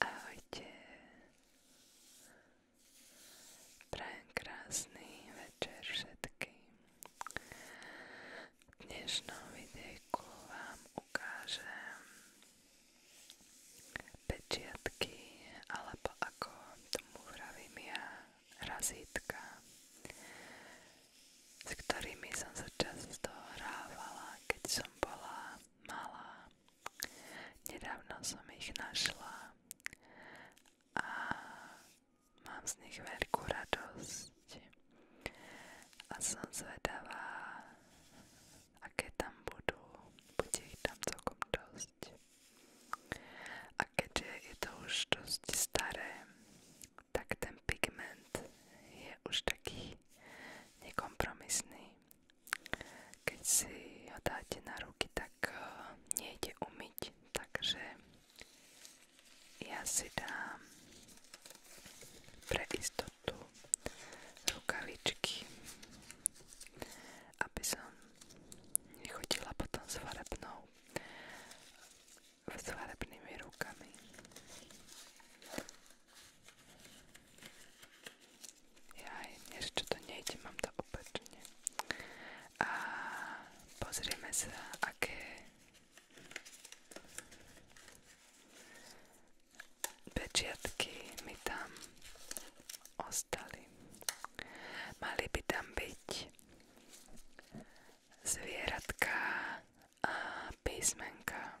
Ahojte. Prajem krásny večer všetkým. V dnešnom videjku vám ukážem pečiatky, alebo ako tomu vravím ja, razítka, s ktorými som sa často hrávala, keď som bola malá. Nedávno som ich našla a mám z nich veľkú radosť a som zvedavá, aké tam budú, bude ich tam celkom dosť. A keďže je to už dosť staré, tak ten pigment je už taký nekompromisný keď si ho dáte na ruky, tak uh, nejde umyť, takže ja si dám pre istotu rukavičky, aby som nechodila potom s farebnou, s farebnými rukami. Jaj, ešte to nejde, mám to opačne. A pozrieme sa, aké pečiatky mi tam ostali. Mali by tam byť zvieratka a písmenka.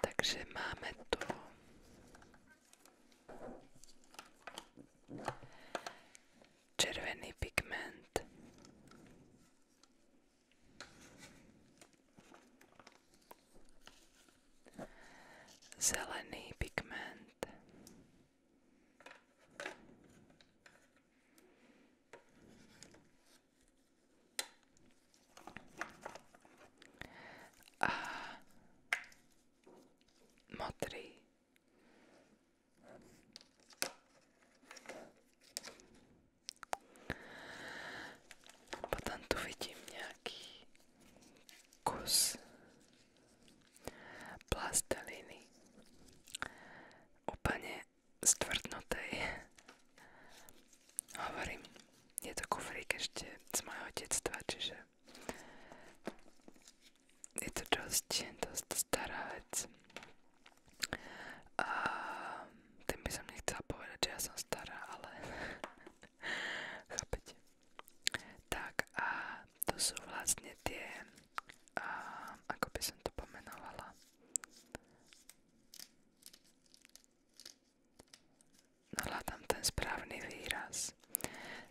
Takže máme tu červený pigment. Zelený pigment. A Potom tu vidím nejaký kus plasteliny stvrdnutej. Hovorím, je to kufrík ešte z mojho detstva, čiže je to dosť, dosť stará vec. A tým by som nechcela povedať, že ja som stará, ale chápete. Tak a to sú vlastne tie a ako by som to pomenovala, no hľadám ten správny výraz.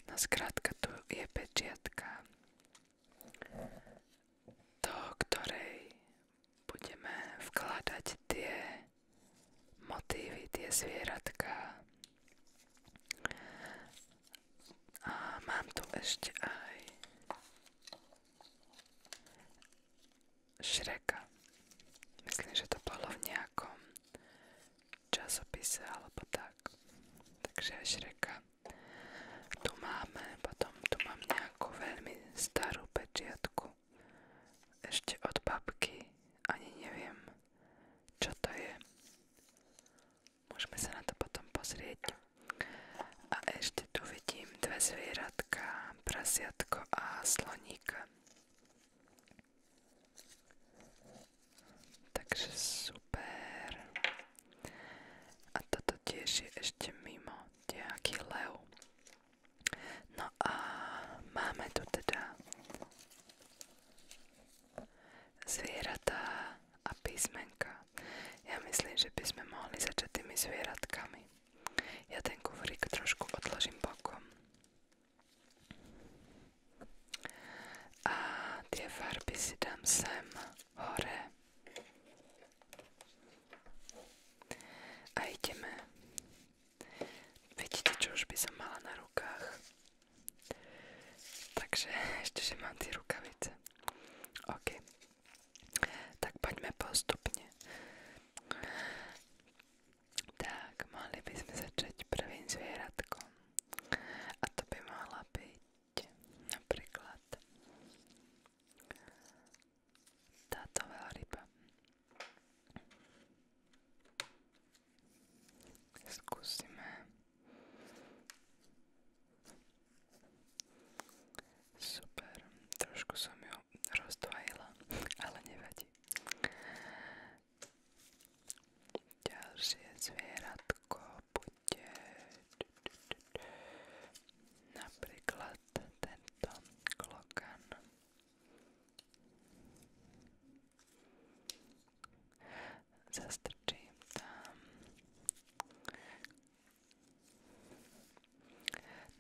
No skrátka tu je pečiatka, do ktorej budeme vkladať tie motívy, tie zvieratka. A mám tu ešte aj Šreka. Myslím, že to bolo v nejakom časopise alebo tak. Takže aj Šreka. Tu máme, potom tu mám nejakú veľmi starú pečiatku. Ešte od babky. Ani neviem, čo to je. Môžeme sa na to potom pozrieť. A ešte tu vidím dve zvieratka, prasiatko a sloníka. Takže super. A toto tiež je ešte mimo nejaký lev. No a máme tu teda zvieratá a písmenka. Ja myslím, že by sme mohli začať tými zvieratkami. Ja ten kufrík trošku odložím bokom. A tie farby si dám sem hore. A ideme. Vidíte, čo už by som mala na rukách. Takže ešte, že mám tie rukavice. OK. Tak poďme postupne. Tak, mohli by sme začať prvým zvieratkom. A to by mohla byť napríklad táto veľryba. Skúsime Super, trošku som ju rozdvojila, ale nevadí. Ďalšie zvieratko bude napríklad tento klokan zastrčím tam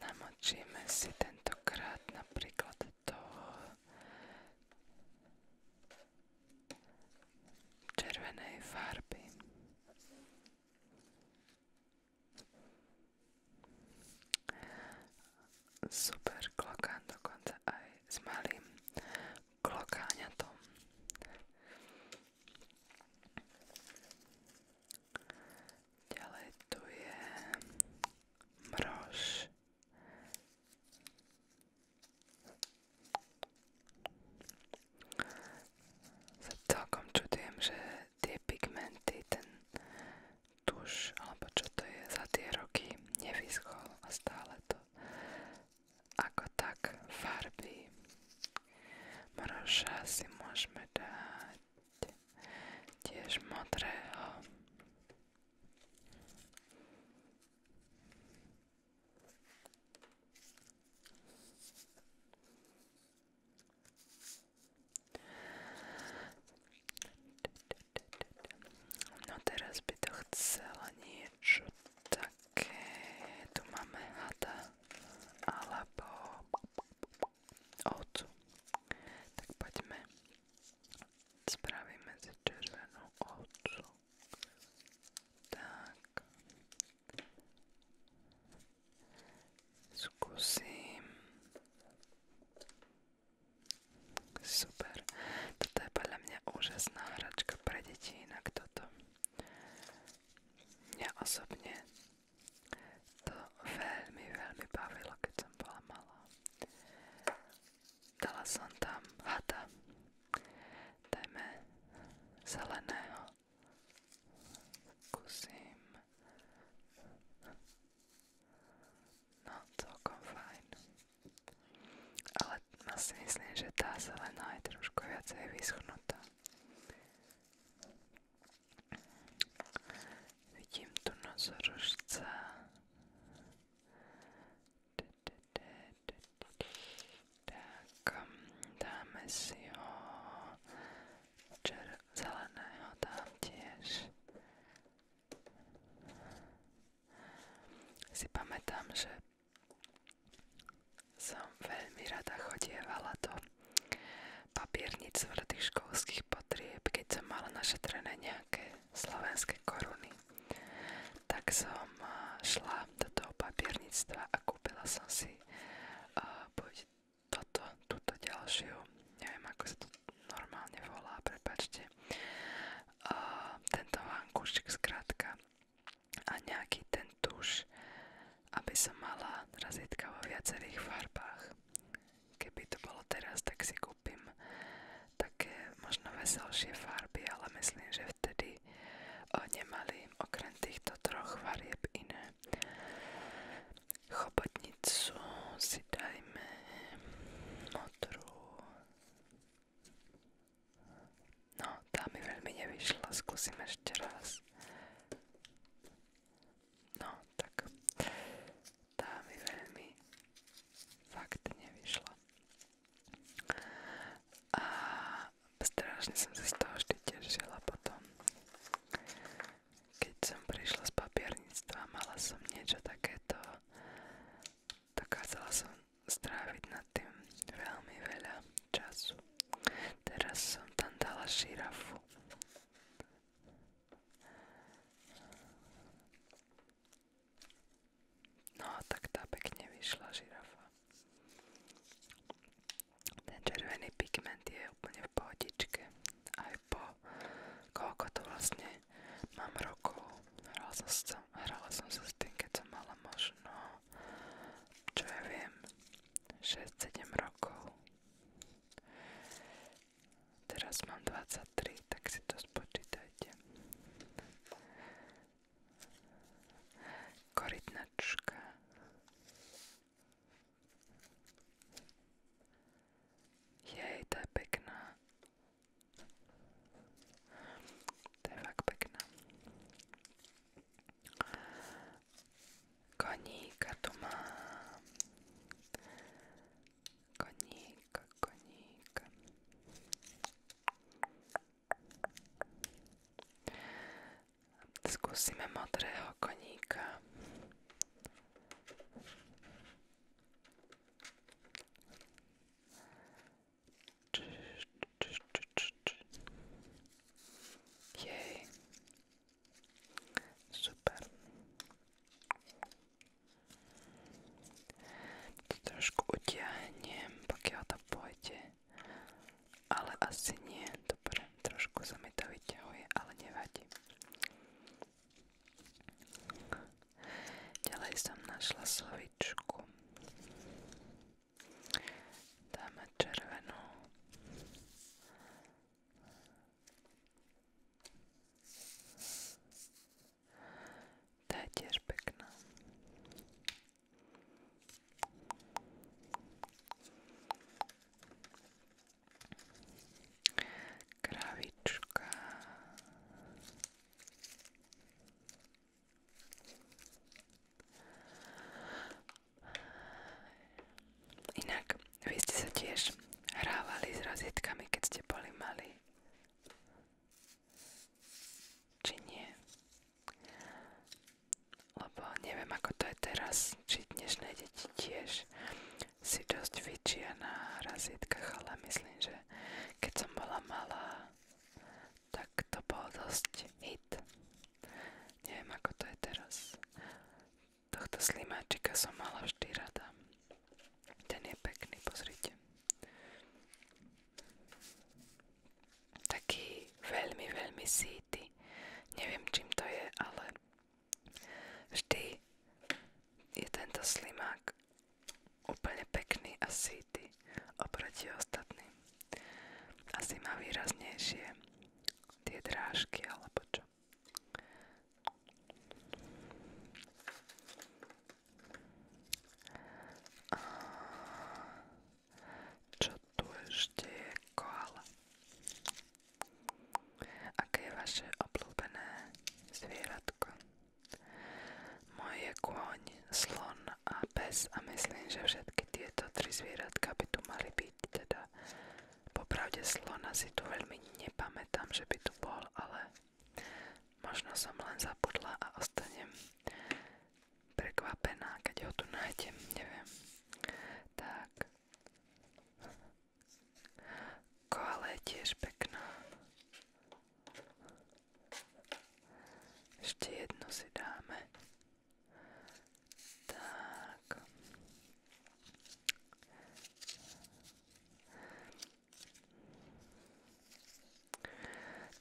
namočíme si tentokrát napríklad do červenej farby super klokán dokonca aj s malým klokáňatom. Ďalej tu je mrož. Sa celkom čudujem, že tie pigmenty, ten tuš, alebo čo to je, za tie roky nevyschol a stále to ako tak farby. Mroža si môžeme dať tiež modrého. No by to chcela nie niečo také. Tu máme hada alebo ovcu. Tak poďme. Spravíme si červenú ovcu. Tak. Skúsim s super. Toto je podľa mňa úžasná hračka pre deti, inak toto. Mňa osobne to veľmi, veľmi bavilo, keď som bola malá. Dala som tam hada. Dajme zeleného. Kusím. No, celkom fajn. Ale si vlastne že tá zelená je trošku viacej vyschnutá. Vidím tu nosorožca. Tak, dáme si ho čer- zeleného dám Si pamätám, že som veľmi rada chodievala do papiernic v školských potrieb, keď som mala našetrené nejaké slovenské koruny. Tak som šla do toho papiernictva a kúpila som si túto ďalšiu, neviem ako sa to normálne volá, prepačte, a tento vankúšik zkrátka a nejaký ten tuš, aby som mala razítka vo viacerých farbách. Keby to bolo teraz, tak si kúpim také možno veselšie farby, ale myslím, že vtedy o, nemali okrem týchto troch farieb iné. Chobotnicu si dajme modrú, No, tá mi veľmi nevyšla, skúsim ešte raz. No, tak. Tá mi veľmi fakt nevyšla. A strašne som sa z toho vždy tešila potom. Keď som prišla z papierníctva, mala som niečo takéto dokázala som stráviť nad tým veľmi času. Teraz som tam dala širafu. No, tak tá pekne vyšla žirafa. Ten červený pigment je úplne v pohodičke. Aj po koľko to vlastne mám rokov, hrala som, sa, hrala som sa s tým, keď som mala možno, čo ja viem, 6-7 rokov. Teraz mám 23, tak si to spočítajte. Korytnačka. Jej, tá je pekná. To je fakt pekná. Koníka tu mám. Koníka, koníka. Skúsime modrého koníka. Jej. Super. To trošku utiahnem, pokiaľ to pôjde. Ale asi nie. Dobre, trošku sa mi to vyťahuje, ale nevadí. Ďalej som našla slovičku. Dáme červenú. Tá je tiež pekná. Kravička. Inak, vy ste sa tiež hrávali s razítkami, keď ste boli mali. Či nie? Lebo neviem, ako to je teraz, či dnešné deti tiež si dosť vyčia na razítkach, ale myslím, že keď som bola malá, tak to bol dosť hit. Neviem, ako to je teraz. Tohto slimáčika som mala vždy rada. Ten je pekný, pozrite. Taký veľmi, veľmi síty. Neviem, čím to je, ale vždy je tento slimák Úplne pekný a sýty oproti ostatným. Asi má výraznejšie tie drážky alebo čo. A čo tu ešte je koala? vaše obľúbené zvieratko? Moje kôň, slon a pes a myslím, že všetky tieto tri zvieratka by tu mali byť. Teda popravde slona si tu veľmi nepamätám, že by tu bol, ale možno som len zabudla a ostanem prekvapená, keď ho tu nájdem, neviem. Tak. Koala je tiež pekná. Ešte jednu si dáme. Tak.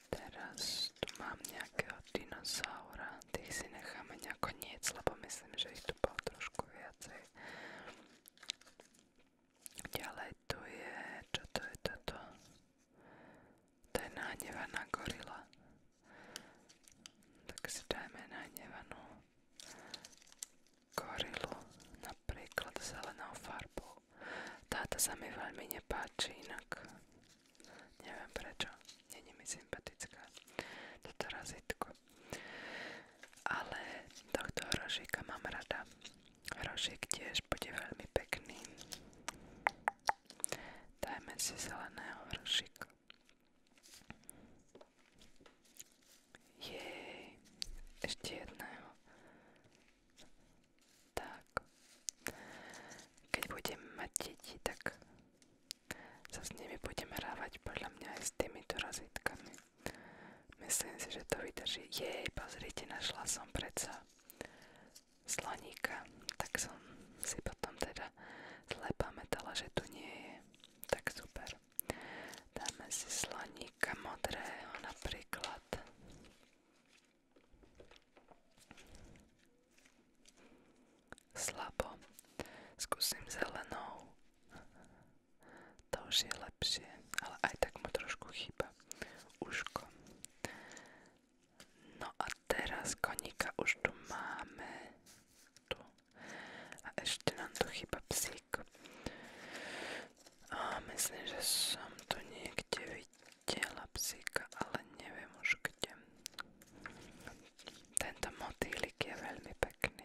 Teraz tu mám nejakého dinosaura. Tých si necháme nejako niec, lebo myslím, že ich tu bolo trošku viacej to je toto? To je nahnevaná gorila. Tak si dajme nahnevanú gorilu, napríklad zelenou inak. Neviem prečo, není mi sympatická. Toto razitko. Ale tohto hrošika mám rada. Hrošik tiež bude veľmi pekný. Dajme si zeleného hrošika. Jej, ešte jedného. Tak. Keď budem tak sa s nimi budem hrávať podľa mňa s týmito rozítkami. Myslím si, že to vydrží. Jej, pozrite, našla som predsa slaníka. Tak som si potom teda zle pamätala, že tu nie je. Tak super. Dáme si slaníka modrého napríklad. Slabo. Skúsim zelenou to už je lepšie, ale aj tak mu trošku chýba uško. No a teraz koníka už tu máme. Tu. A ešte nám tu chýba psík. A myslím, že som tu niekde videla psíka, ale neviem už kde. Tento motýlik je veľmi pekný.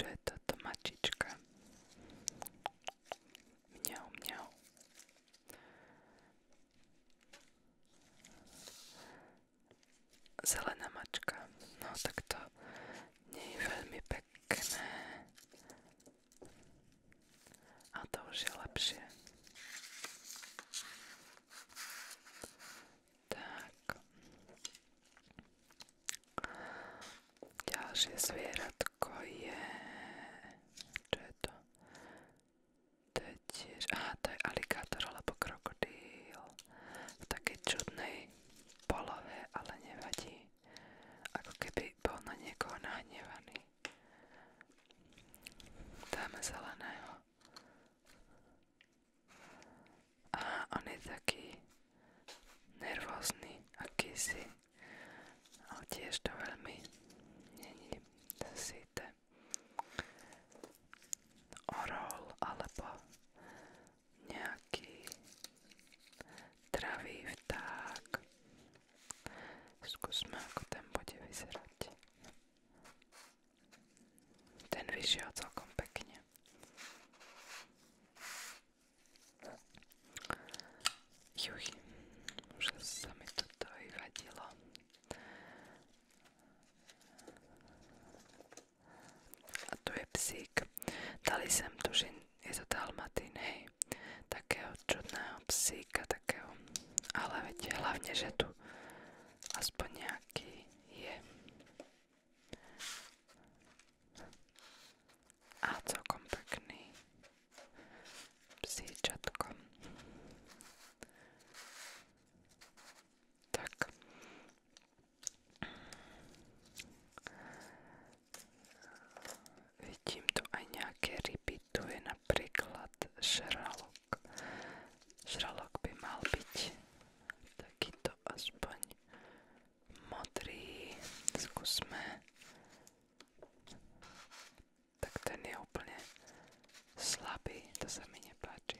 Čo je toto mačička? Mňau, mňau. Zelená mačka. No tak to nie je veľmi pekné. A to už je lepšie. Tak. Ďalšie zvieratko je... Čo je to? To je tiež... Aha, to je alikátor alebo krokodíl. V takej čudnej polohe, ale nevadí. Ako keby bol na niekoho nahnevaný. Dáme zeleného a on je taký nervózny akýsi, ale tiež to veľmi není síte. Orol alebo nejaký travý vták. Skúsme, ako ten bude vyzerať. Ten vyšiel celkom pekne. Juj, už sa mi toto vyvadilo. A tu je psík. Dali sem tuším, je to dalmatín, hej. Takého čudného psíka, takého. Ale viete, hlavne, že tu aspoň nejaký je. A celkom pekný. Vidím tu aj nejaké ryby. je napríklad šralok. Žralok by mal byť takýto aspoň modrý. Skúsme. Tak ten je úplne slabý, to sa mi nepáči.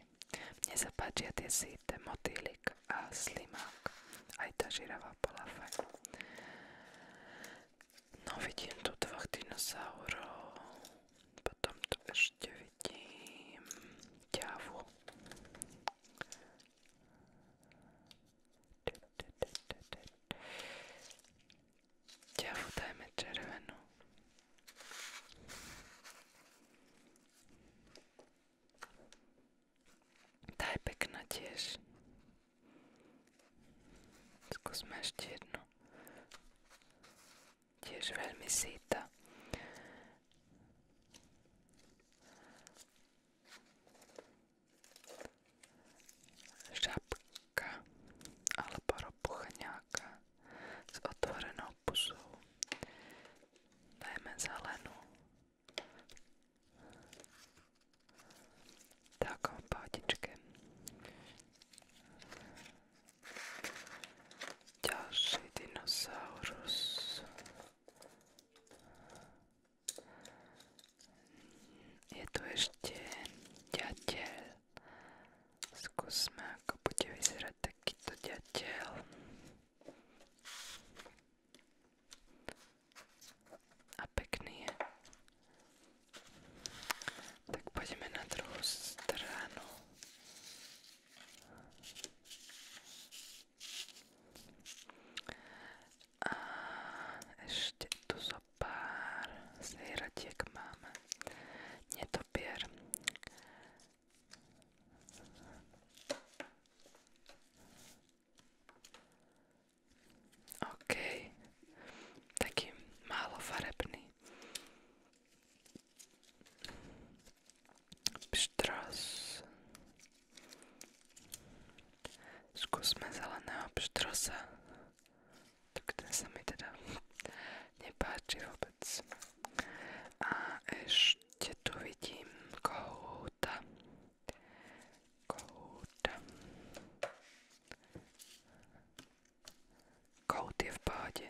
Mne sa páčia tie síte, motýlik a slimák. Aj tá žirava bola fajn. No vidím tu dvoch dinosaurov. Potom tu ešte vidím ťavu. Ťavu dajme červenú. Tá je pekná tiež. Skúsme ešte jednu tiež veľmi síta. Žabka alebo ropuchňáka s otvorenou pusou. Dajme zelenú. Takom pátičke. Ďalší dinosaurus. Je tu ešte ďateľ. Skúsme, ako bude vyzerať takýto ďateľ. A pekný je. Tak poďme na druhú stranu. A ešte tu zo pár zvieratiek máme. Netopier. OK, taký málo farebný. Pštrás. Skúsme zeleného pštrosa. Tak ten sa mi teda nepáči vôbec. A ešte tu vidím kohúta. Kohúta. Kout je v páde.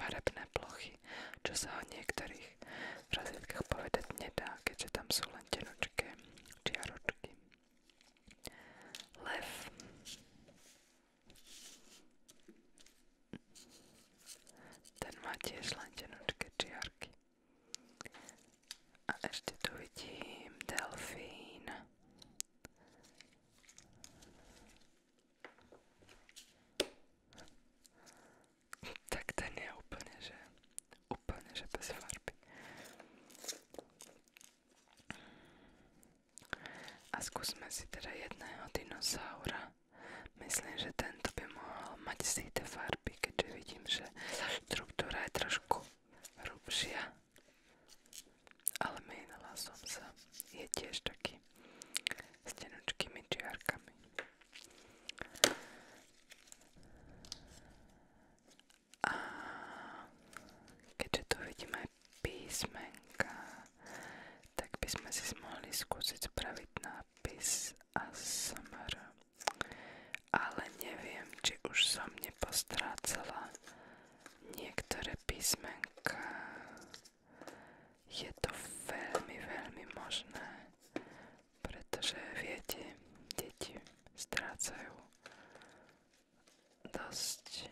farebné plochy, čo sa o niektorých razítkach povedať nedá, keďže tam sú len čiaročky. Ten má tiež len tenočké čiarky. A ešte tu vidím delfín. je úplne, že farby. A skúsme si teda jedného dinosaura. Myslím, že tento by mohol mať z tej farby, keďže vidím, že štruktúra je trošku hrubšia. Ale menila som sa. Je tiež taký s tenučkými čiarkami. A keďže tu vidíme aj písmenka, tak by sme si mohli skúsiť spraviť nápis ASMR ale neviem, či už som nepostrácala niektoré písmenka. Je to veľmi, možné, pretože viete, deti dosť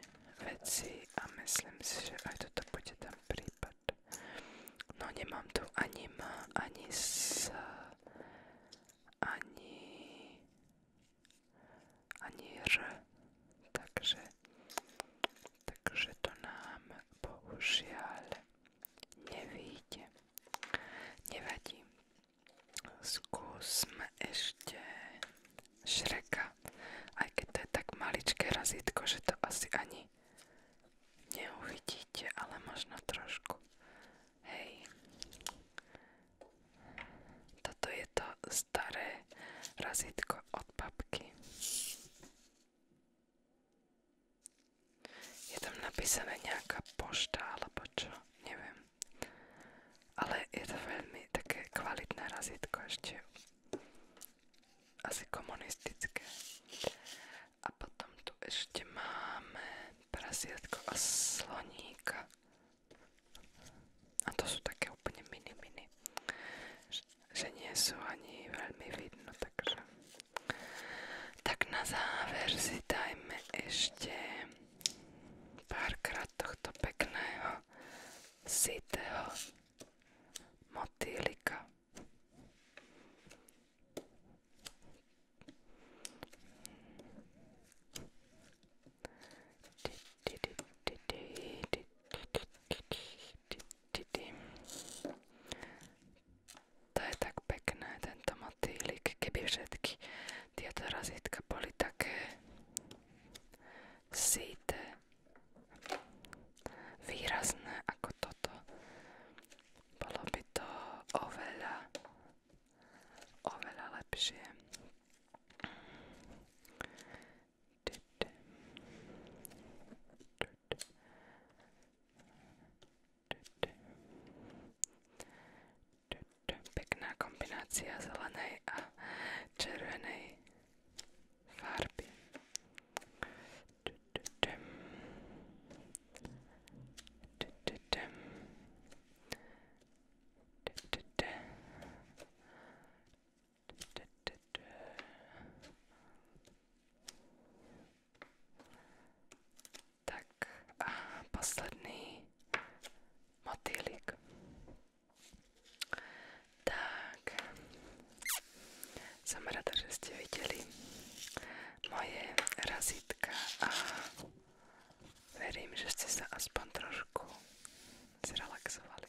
vecí a myslím si, že aj toto bude tam prípad. No nemám tu ani M, ani S, ani, R, takže, to nám bohužiaľ nevíde. Nevadí. Skúsme ešte šreka. Aj to je tak maličké razítko, že to asi ani neuvidí necítite, ale možno trošku. Hej. Toto je to staré razítko od papky. Je tam napísané nejaká pošta alebo čo, neviem. Ale je to veľmi také kvalitné razítko ešte. Asi komunistické. A potom tu ešte máme prasiatko a sloníka. A to sú také úplne mini mini. Že nie sú ani veľmi vidno, takže... Tak na záver si dajme ešte párkrát tohto pekného sitého motýlika. To je tak pekné, tento motýlik, keby všetky tieto razítka boli také síte, výrazné ako to toto. Bolo by to oveľa, oveľa lepšie. Pekná kombinácia zelenej a červenej farby. Tak a posledný motýlik. Tak, som rada, že ste videli moje razítka a verím, že ste sa aspoň trošku zrelaxovali.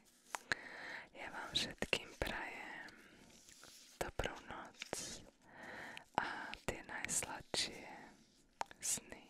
Ja vám všetkým prajem dobrú noc a tie najsladšie sny.